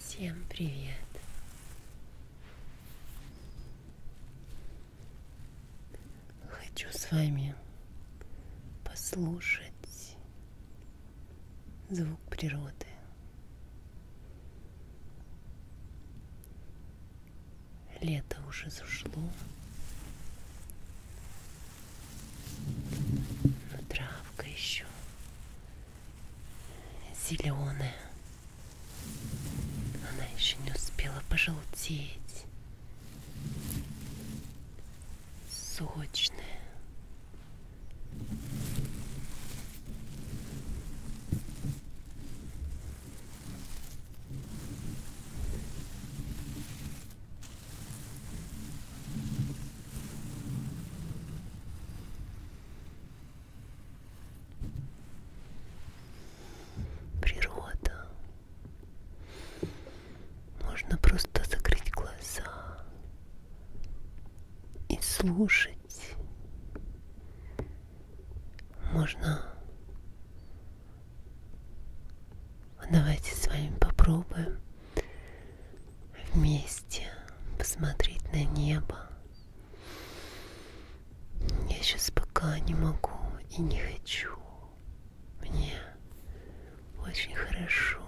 Всем привет! Хочу с вами послушать звук природы. Лето уже зашло, но травка еще зеленая. Она еще не успела пожелтеть. Сочная. Природа. Можно просто закрыть глаза и слушать. Можно. Давайте с вами попробуем вместе посмотреть на небо. Я сейчас пока не могу и не хочу. Мне очень хорошо.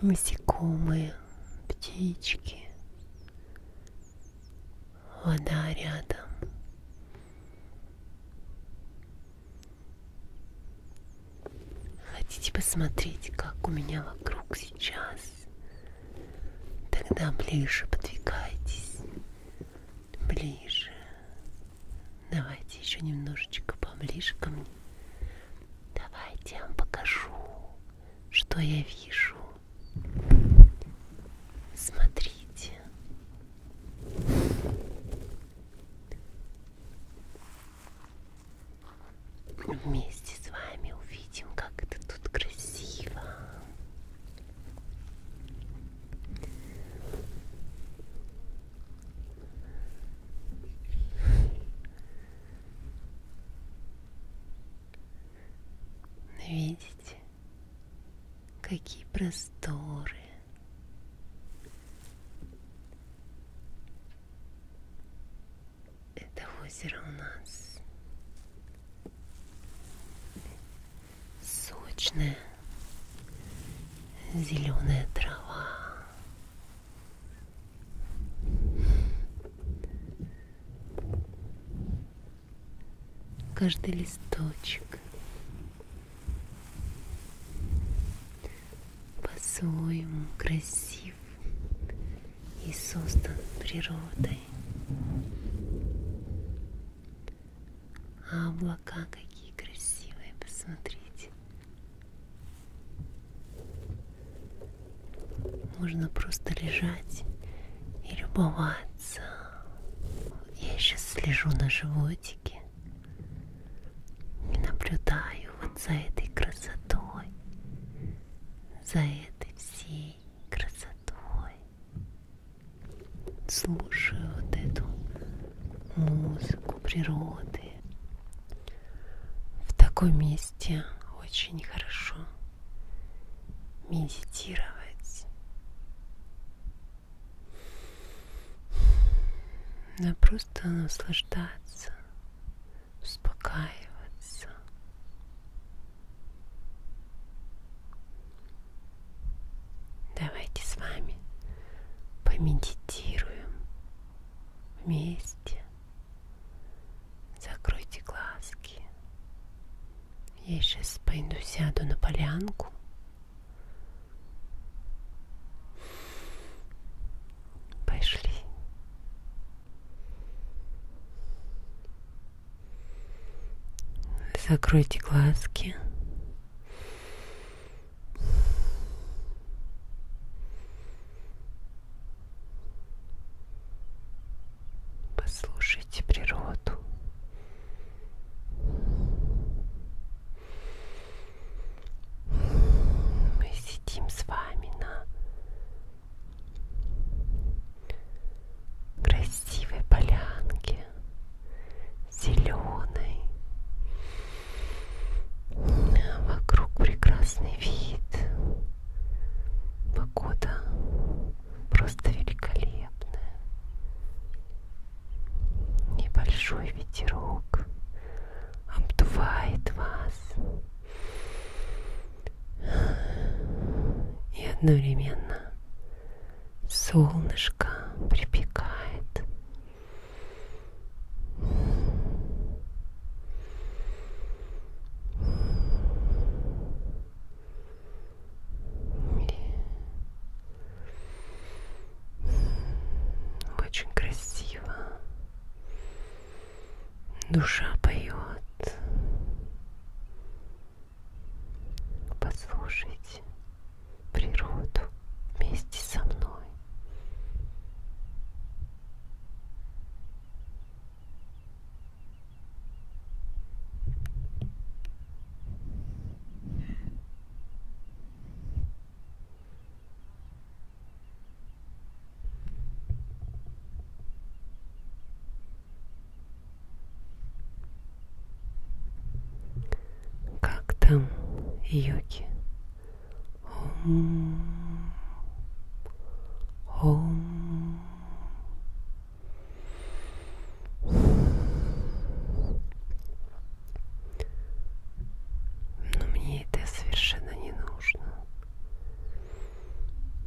Насекомые, птички, вода рядом. Хотите посмотреть, как у меня вокруг сейчас? Тогда ближе подвигайтесь. Ближе. Давайте еще немножечко поближе ко мне. Давайте я вам покажу, что я вижу. Смотрите. Мы вместе с вами увидим, как это тут красиво. Видите? какие просторы. Это озеро у нас сочное, зеленая трава каждый листочек по-своему красив и создан природой. А облака какие красивые, посмотрите. Можно просто лежать и любоваться нравится. Я сейчас слежу на животике и наблюдаю вот за этой красотой, за этой всей красотой. Слушаю вот эту музыку природы. В таком месте очень хорошо медитировать. Да просто наслаждаться, успокаиваться. Давайте с вами помедитируем вместе. Закройте глазки. Я сейчас пойду сяду на полянку. Пошли. Закройте глазки. Послушайте природу. Мы сидим с вами на красивой полянке, зеленой. Вокруг прекрасный вид. Погода просто великолепная. Небольшой ветерок обдувает вас и одновременно солнышко припекает. Очень красиво. Душа поет. Послушайте природу вместе со мной. Как там, Йоки? Ом. Ом. Но мне это совершенно не нужно.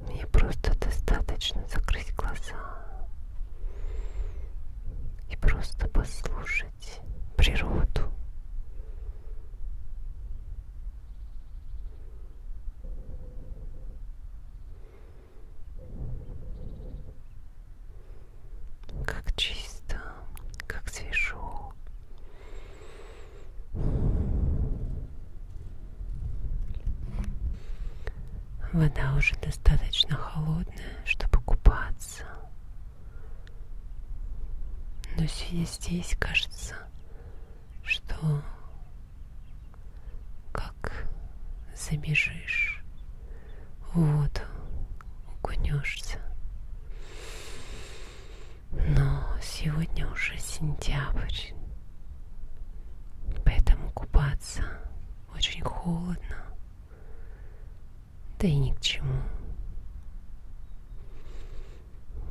Мне просто достаточно закрыть глаза и просто послушать природу. Как чисто, как свежо. Вода уже достаточно холодная, чтобы купаться. Но сидя здесь, кажется, что как забежишь, в воду укунешься. Но сегодня уже сентябрь, поэтому купаться очень холодно, да и ни к чему.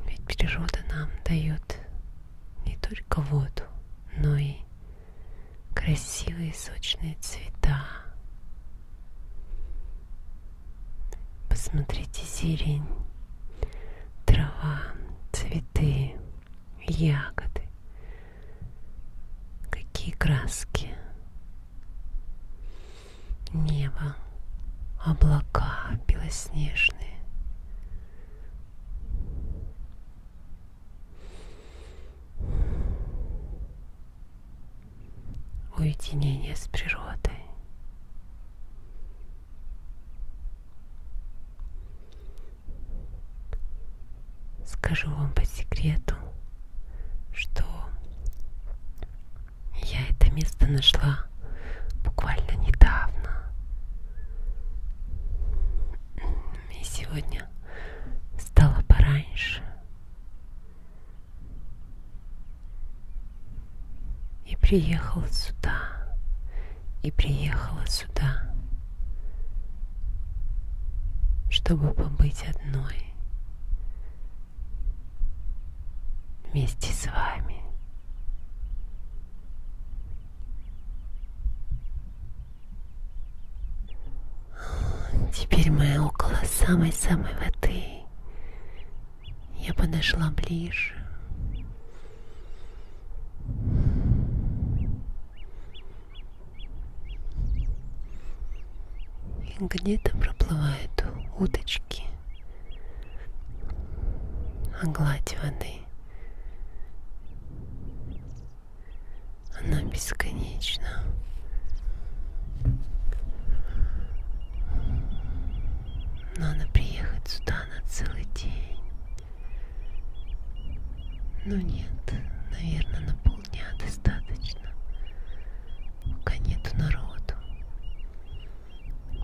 Ведь природа нам дает не только воду, но и красивые сочные цвета. Посмотрите зелень, трава, цветы, ягоды. Какие краски. Небо, облака белоснежные. Уединение с природой. Скажу вам по секрету, что я это место нашла буквально недавно. Я сегодня встала пораньше и приехала сюда, и приехала сюда, чтобы побыть одной вместе с вами. Теперь мы около самой-самой воды. Я подошла ближе. где-то проплывают уточки, а гладь воды она бесконечна. Надо приехать сюда на целый день. Ну нет, наверное, на полдня достаточно. Пока нету народу.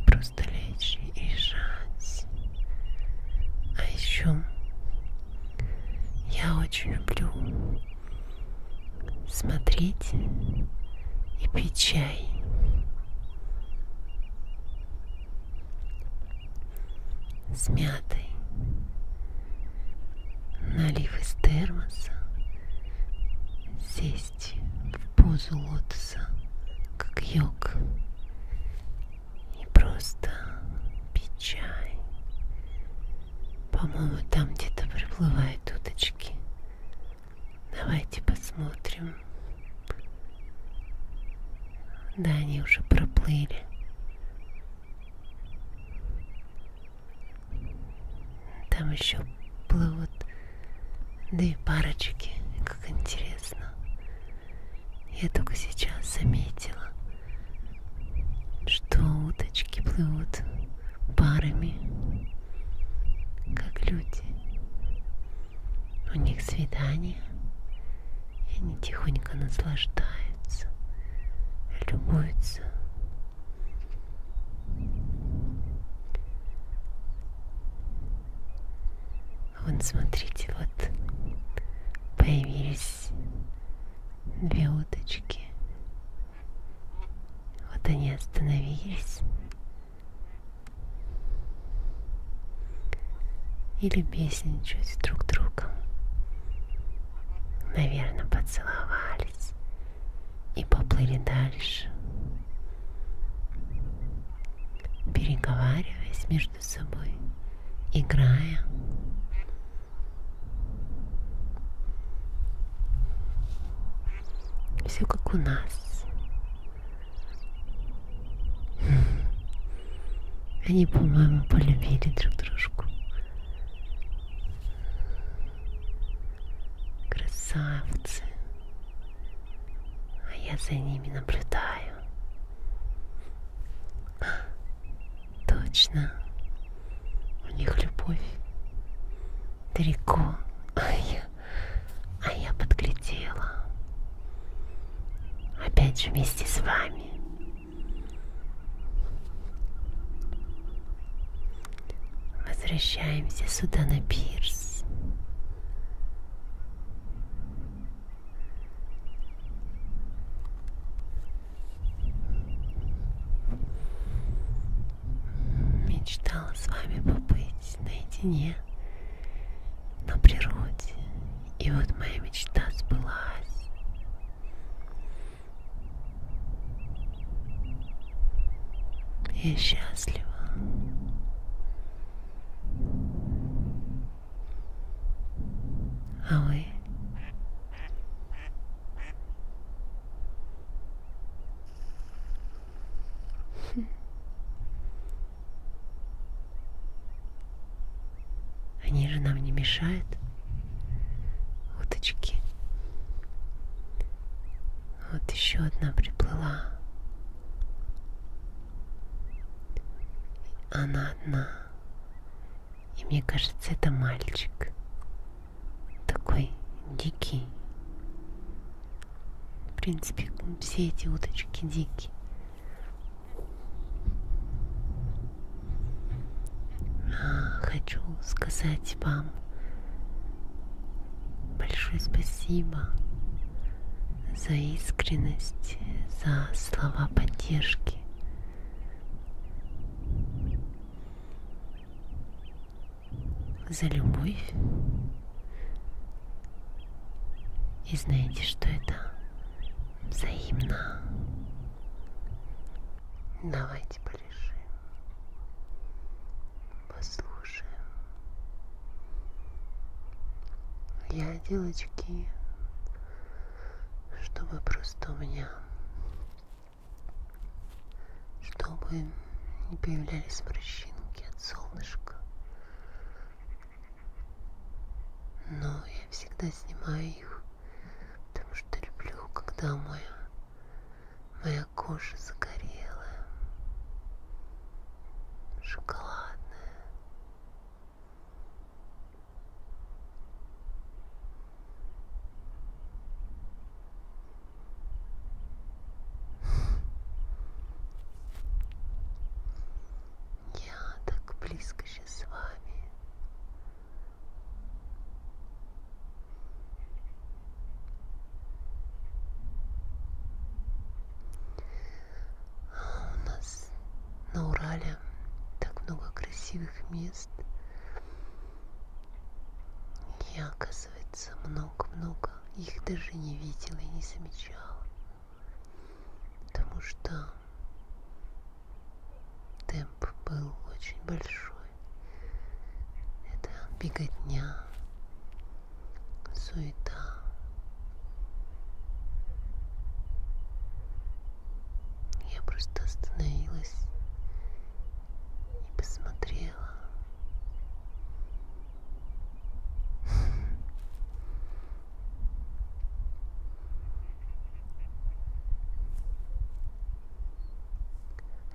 Просто лечь и решать. А еще я очень люблю смотреть и пить чай. С мятой. Налив из термоса, сесть в позу лотоса, как йог, и просто печаль. По-моему, там где-то проплывают уточки. Давайте посмотрим. Да, они уже проплыли. Там еще плывут две парочки. Как интересно. Я только сейчас заметила, что уточки плывут парами, как люди. У них свидания, и они тихонько наслаждаются, любуются. Вон, смотрите, вот появились две уточки. Вот они остановились. Или песничают друг другом. Наверное, поцеловались и поплыли дальше, переговариваясь между между собой, играя. Все как у нас. Хм. Они, по-моему, полюбили друг дружку. Красавцы. А я за ними наблюдаю. Точно. У них любовь далеко. А я, а я подглядела. Опять же вместе с вами. Возвращаемся сюда на пирс. Мечтала с вами побыть наедине на природе. И вот моя мечта сбылась. Я счастлива. А вы? Хм. Они же нам не мешают. Уточки. Вот еще одна приплыла. Она одна. И мне кажется, это мальчик. Такой дикий. В принципе, все эти уточки дикие. А, хочу сказать вам большое спасибо за искренность, за слова поддержки, за любовь. И знаете, что это взаимно. Давайте порешим, послушаем. Я, девочки, чтобы просто у меня, чтобы не появлялись морщинки от солнышка. Но я всегда снимаю их, потому что люблю, когда моя, моя кожа загорелая, шоколадная, я так близко сейчас с вами. У нас на Урале так много красивых мест. Я, оказывается, много-много их даже не видела и не замечала. Потому что темп был очень большой. Это беготня, суета. Я просто остановилась и посмотрела.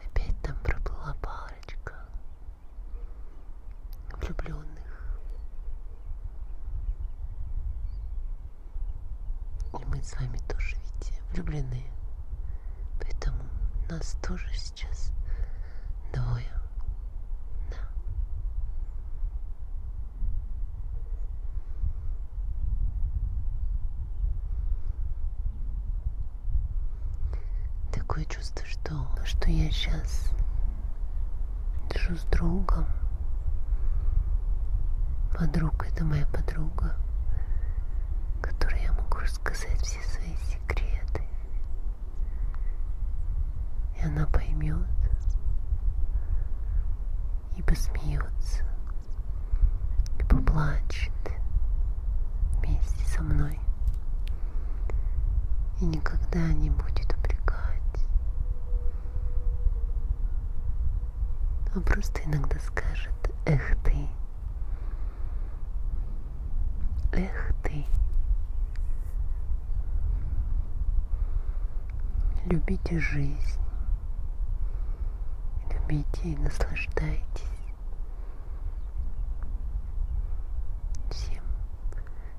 Опять там проплыла парочка влюбленных. И мы с вами тоже ведь влюблены. Поэтому нас тоже сейчас двое. Да. Такое чувство, что, что я сейчас Держу с другом. Подруга, это моя подруга, которой я могу рассказать все свои секреты. И она поймет и посмеется, и поплачет вместе со мной. И никогда не будет упрекать, он а просто иногда скажет «Эх ты! Эх ты!» Любите жизнь, любите и наслаждайтесь всем,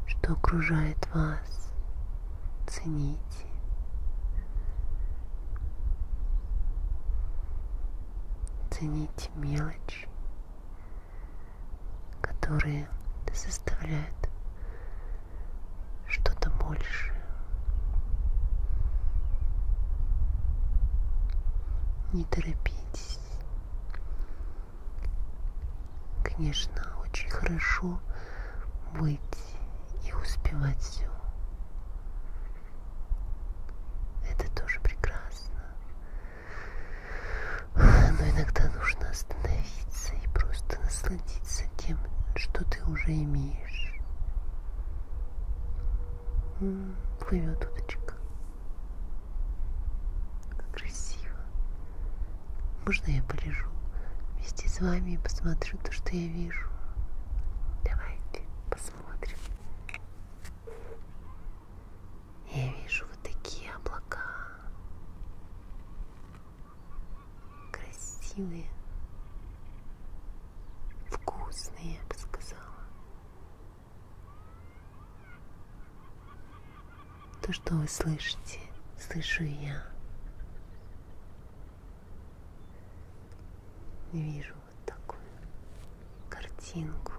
что окружает вас, цените. Ценить мелочи, которые составляют что-то большее. Не торопитесь. Конечно, очень хорошо быть и успевать все. Это тоже прекрасно. Но иногда нужно остановиться и просто насладиться тем, что ты уже имеешь. Плывет удочка. Красиво. Можно я полежу вместе с вами и посмотрю то, что я вижу? Давайте посмотрим. Я вижу вот такие облака. Красивые. Вкусные, я бы сказала. То, что вы слышите, слышу я вижу вот такую картинку.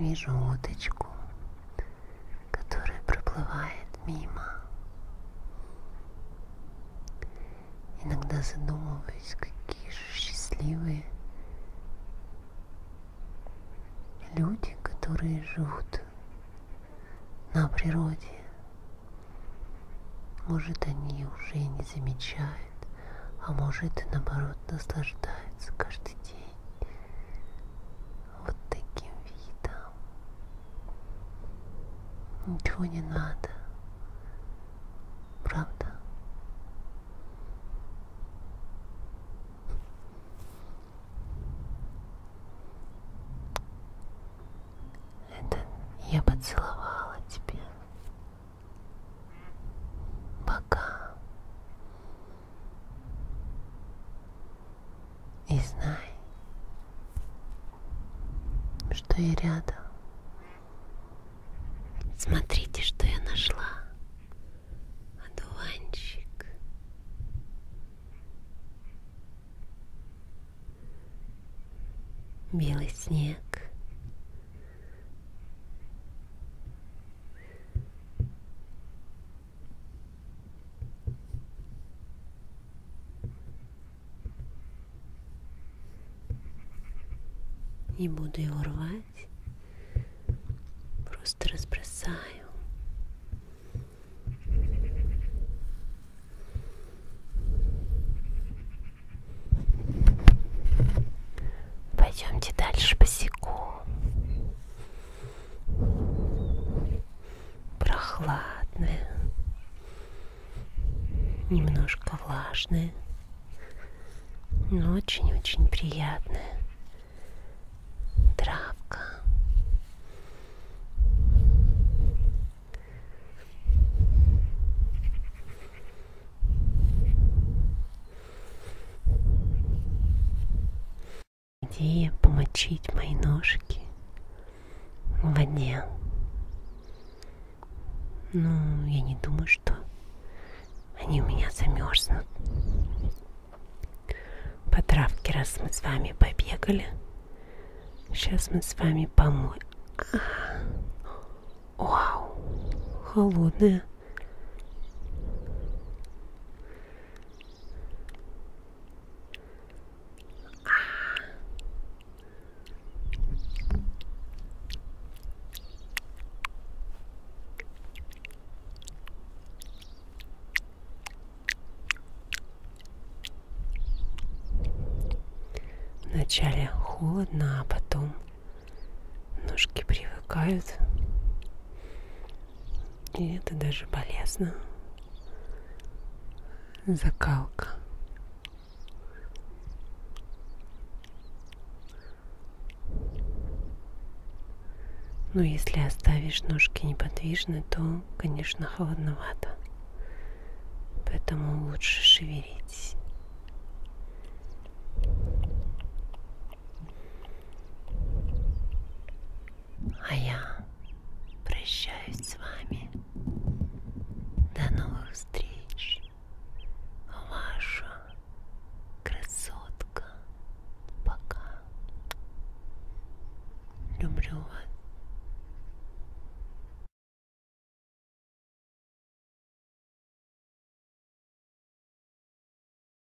Вижу уточку, который проплывает мимо. Иногда задумываюсь, какие же счастливые люди, которые живут на природе. Может, они уже и не замечают, а может, и наоборот, наслаждаются каждый день вот таким видом. Ничего не надо. Правда? Это я поцеловала тебя. Пока. И знай, что я рядом. Смотрите, что я нашла. Одуванчик. Белый снег. Не буду его рвать, просто разбросаю. Пойдемте дальше босиком прохладное, немножко влажное, но очень-очень приятное. Травка идея помочить мои ножки в воде. Ну, я не думаю, что они у меня замерзнут. По травке, раз мы с вами побегали, сейчас мы с вами помоем. Вау, холодная. Вначале холодно, а потом ножки привыкают и это даже полезно. Закалка. Но если оставишь ножки неподвижны, то, конечно, холодновато. Поэтому лучше шевелить. А я прощаюсь с вами. До новых встреч. Ваша красотка. Пока. Люблю вас.